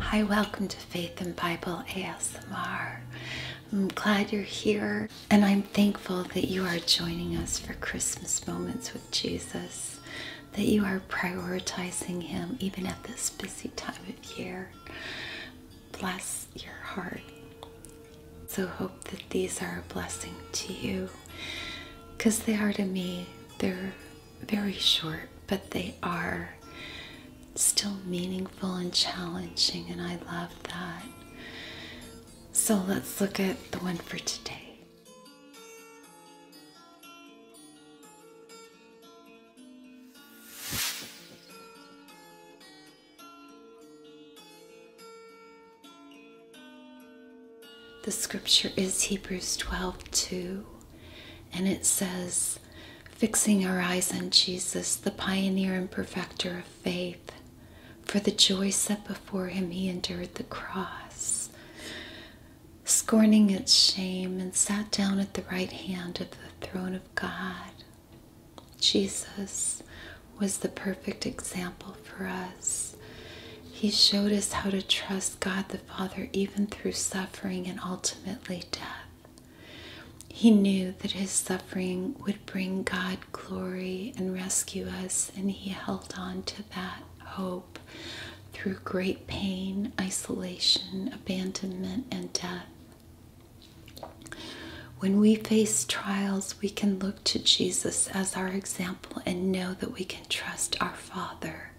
Hi, welcome to Faith in Bible ASMR. I'm glad you're here, and I'm thankful that you are joining us for Christmas moments with Jesus, that you are prioritizing Him even at this busy time of year. Bless your heart. So, hope that these are a blessing to you because they are to me. They're very short, but they are still meaningful and challenging, and I love that. So let's look at the one for today. The scripture is Hebrews 12 2, and it says, Fixing our eyes on Jesus, the pioneer and perfecter of faith, for the joy set before him, he endured the cross, scorning its shame, and sat down at the right hand of the throne of God. Jesus, was the perfect example for us. He showed us how to trust God the Father even through suffering and ultimately death. He knew that his suffering would bring God glory and rescue us, and he held on to that hope through great pain, isolation, abandonment, and death. When we face trials, we can look to Jesus as our example and know that we can trust our Father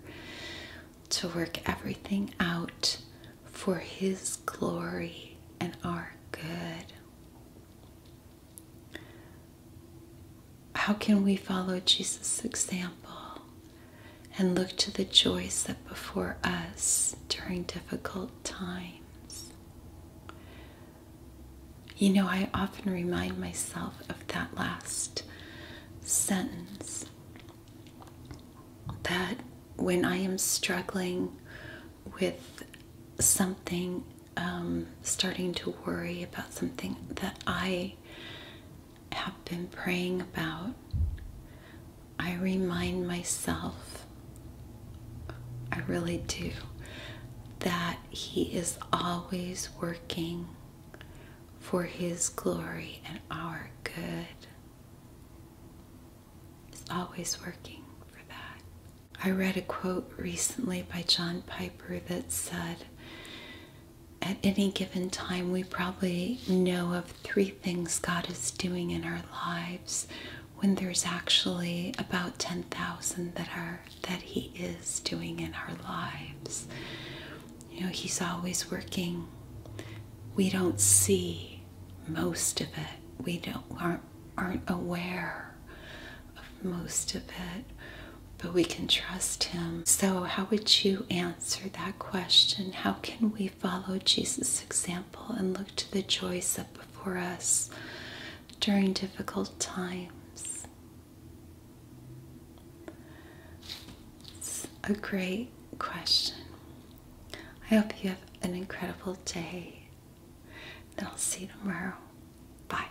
to work everything out for His glory and our good. How can we follow Jesus' example and look to the joys set before us during difficult times? You know, I often remind myself of that last sentence that when I am struggling with something, um, starting to worry about something that I have been praying about I remind myself, I really do, that He is always working for His glory and our good. He's always working for that. I read a quote recently by John Piper that said, at any given time, we probably know of three things God is doing in our lives when there's actually about 10,000 that are that he is doing in our lives. You know, he's always working. We don't see most of it. We don't aren't, aren't aware of most of it but we can trust Him. So, how would you answer that question? How can we follow Jesus' example and look to the joy set before us during difficult times? It's a great question. I hope you have an incredible day. And I'll see you tomorrow. Bye.